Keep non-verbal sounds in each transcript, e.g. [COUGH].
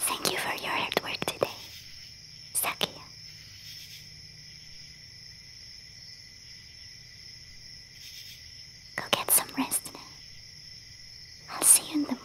Thank you for your hard work today, Sakia. Go get some rest I'll see you in the morning.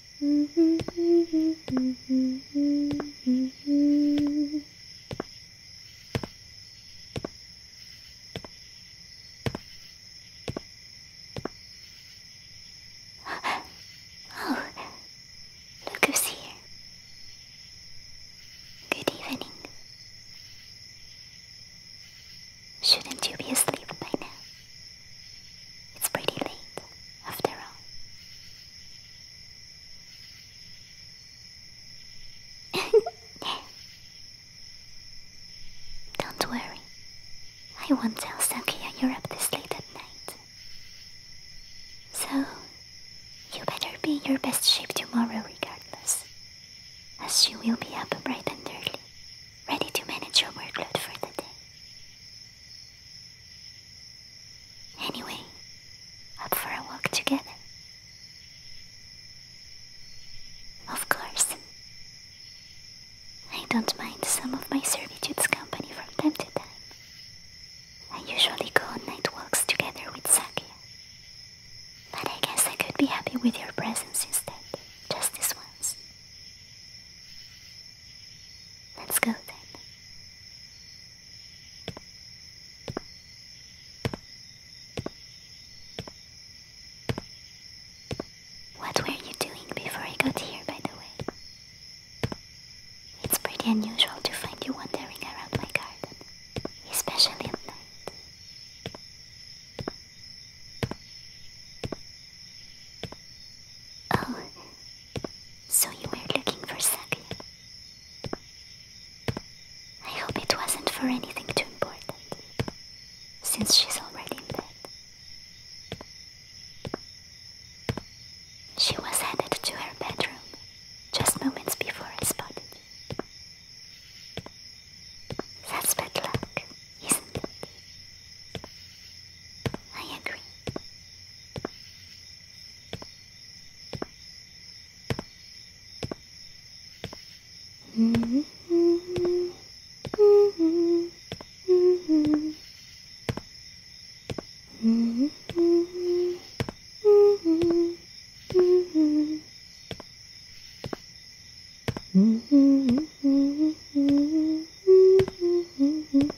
Oh, look here. Good evening. Shouldn't you be asleep by now? It's pretty late after all. [LAUGHS] Don't worry, I won't tell Sakia you're up this late at night. So, you better be in your best shape tomorrow regardless, as you will be up bright and early, ready to manage your workload for the day. Anyway, up for a walk together. Of course. I don't mind some of my servitude's company from time to time. I usually go on night walks together with Sakia. But I guess I could be happy with your presence instead, just this once. Let's go then. What were you doing before I got here, by the way? It's pretty unusual to find you wandering around my garden, especially at night. Oh, so you were looking for Sakia. I hope it wasn't for anything too important, since she's already in bed. She was headed to her bedroom just moments before I spotted you. That's bad luck, isn't it? I agree.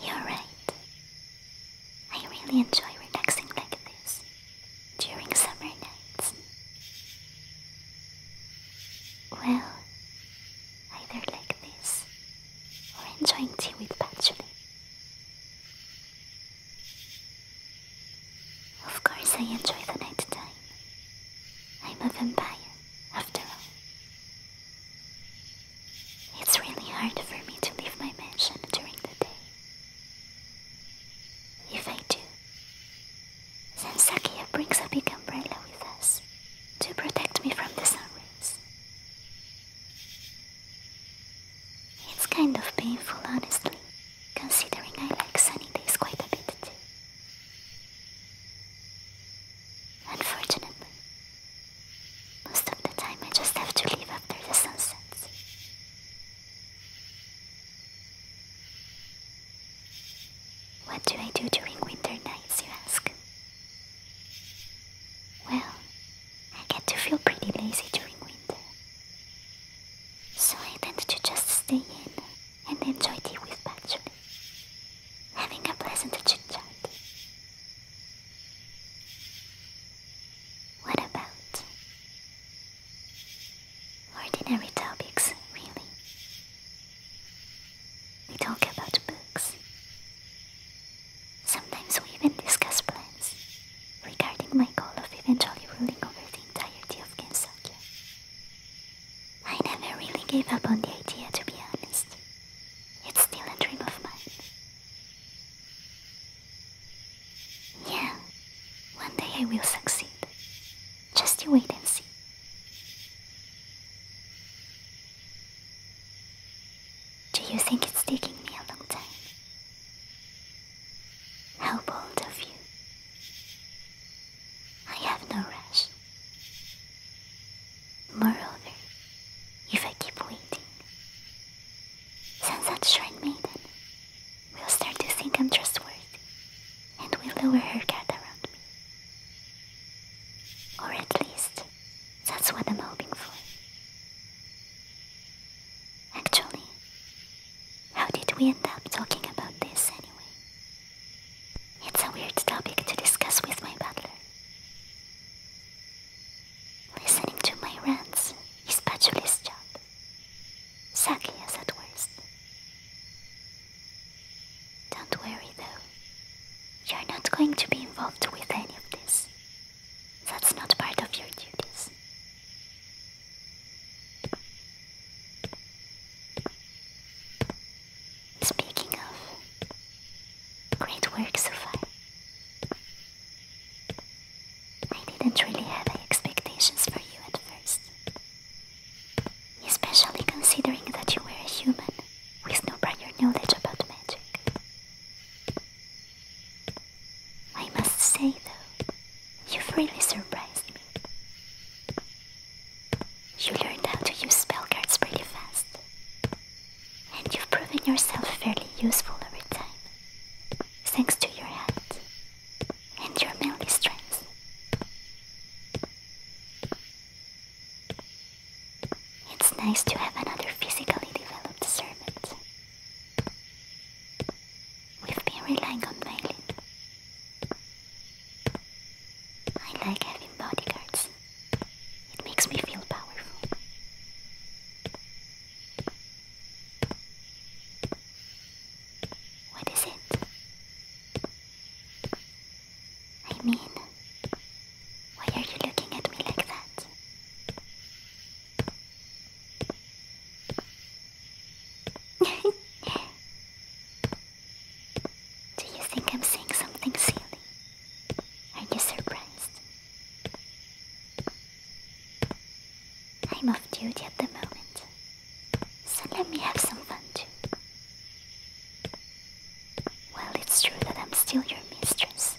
You're right. I really enjoy relaxing like this during summer nights. Well, either like this or enjoying tea with patchouli. Of course I enjoy the night time. I'm a vampire, after all. It's really hard for me to leave my mansion during the day. If I do, then Sakia brings a big umbrella with us to protect me from the sun rays. It's kind of painful, honestly, considering I like sunny days quite a bit Unfortunately, most of the time I just have to leave after the sun sets. What do I do during winter nights, you ask? Well, I get to feel pretty lazy during winter. So I tend to just stay in and enjoy tea with Patchouli, having a pleasant chit chat. What about ordinary topics, really? We talk about books, Sometimes we even discuss plans regarding my goal of eventually ruling over the entirety of Kensakia. I never really gave up on the idea, to be honest. It's still a dream of mine. Yeah, one day I will succeed. Just you wait and see. Do you think it's taking me a long time? How bold of you. I have no rest. Moreover, if I keep waiting, Sunset Shrine Maiden will start to think I'm trustworthy and will lower her guard around me. Or at least that's what I'm hoping for. Actually, how did we end up talking about this anyway? It's a weird topic to discuss with my butler. Listening to my rants is Patchoulie's job. as at worst. Don't worry though, you're not going to be involved with any of this. That's not part of your duties. Speaking of, great work, Sophie. I didn't really have expectations for you at first, especially considering that you were a human with no prior knowledge about magic. I must say, though, you've really surprised me. You learned how to use spell cards pretty fast, and you've proven yourself fairly useful every time, thanks to your hands and your melee strength. It's nice to have another physically developed servant We've been relying on Malin. I like having bodyguards. It makes me feel powerful. What is it? I mean, why are you looking at me like that? [LAUGHS] Do you think I'm saying something silly? Are you surprised? I'm off duty at the moment, so let me have some fun too. Well, it's true that I'm still your mistress,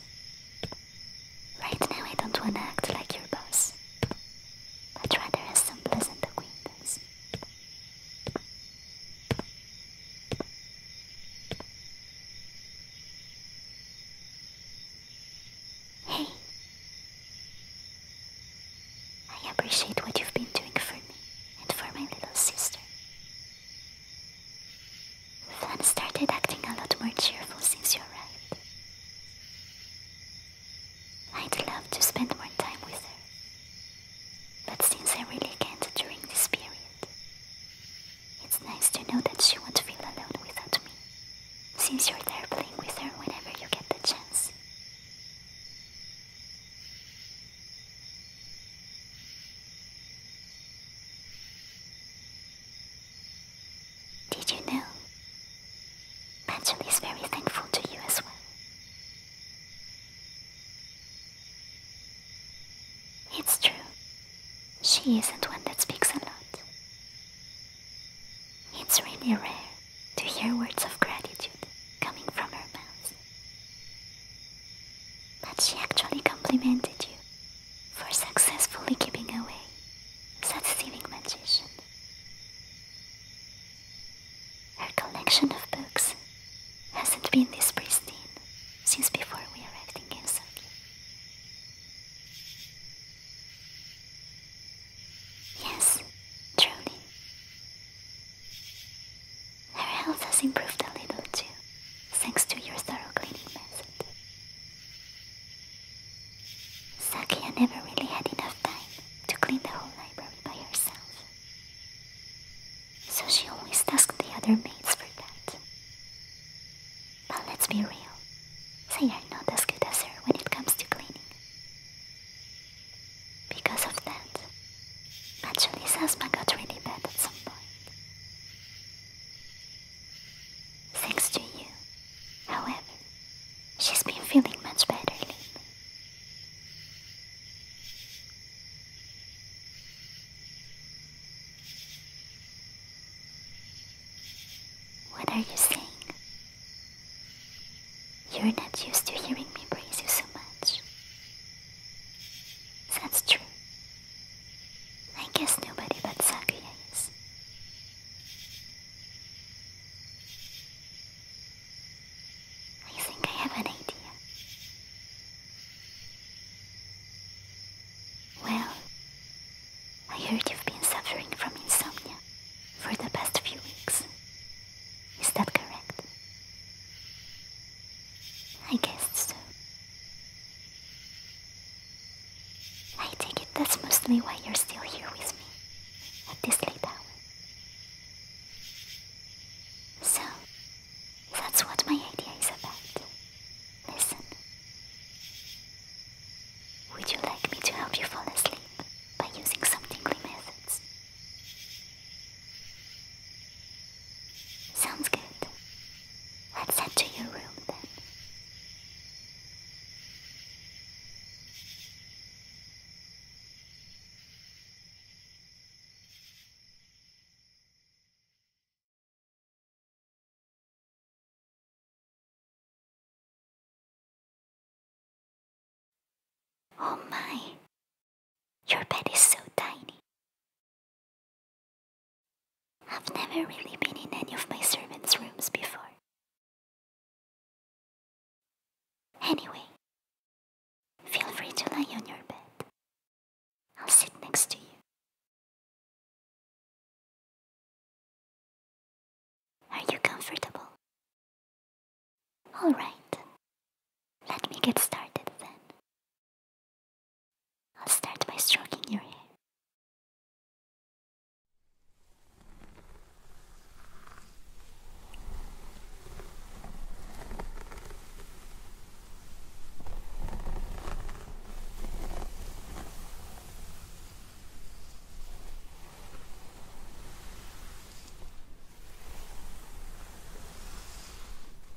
Right now I don't want to act like your boss, I'd rather have some pleasant acquaintance. Hey, I appreciate what you've been doing for me and for my little sister. Flan started acting a lot more cheerful since you arrived. I'd love to spend more time with her. But since I really can't during this period, it's nice to know that she won't feel alone without me. Since you're there playing with her whenever you get the chance. Did you know? Benjamin is very thankful to you as well. It's true. She isn't one that speaks a lot. It's really rare to hear words of gratitude coming from her mouth. But she actually complimented you for successfully keeping away such stealing magician. Her collection of books hasn't been this pristine since before we arrived in Gensoki. Yes, truly. Her health has improved a little too, thanks to your thorough cleaning method. Sakia never really had enough time to clean the whole library by herself. So she always asked the other maids for that. But let's be real, they are not as good as her when it comes to cleaning. Because of that, actually Sasma got really bad at some point. Thanks to you. However, she's been feeling much better lately. What are you saying? You're not used to hearing me praise you so much. That's true. I guess nobody but Sakuya is. I think I have an idea. Well, I heard you've been suffering from insomnia for the past few weeks. Is that correct? I guess so. I take it that's mostly why you're still here with me at this late hour. So, that's what my idea is about. Listen. Would you like me to help you fall asleep by using some tingly methods? Sounds good. Let's head to your room then. Oh my, your bed is so tiny. I've never really been in any of my servants' rooms before. Anyway, feel free to lie on your bed. I'll sit next to you. Are you comfortable? Alright, let me get started then. I'll start by stroking your hair.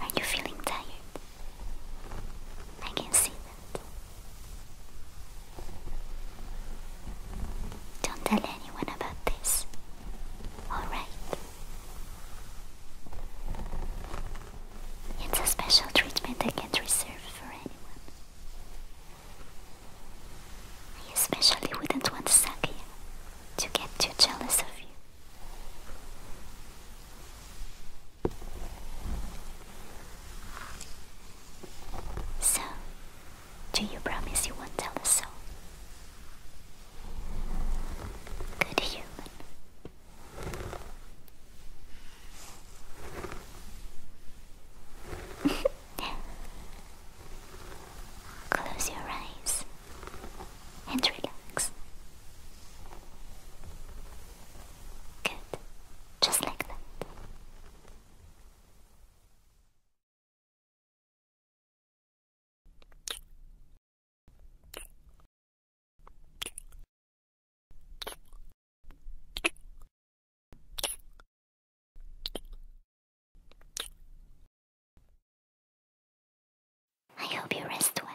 Are you feeling tired? I can see that. Don't tell anyone about this. Alright. It's a special treatment I can't reserve. I especially wouldn't want Saki to get too jealous of you. So, do you promise you won't tell us so? Good human. [LAUGHS] Close your eyes and relax. Good, just like that. I hope you rest well.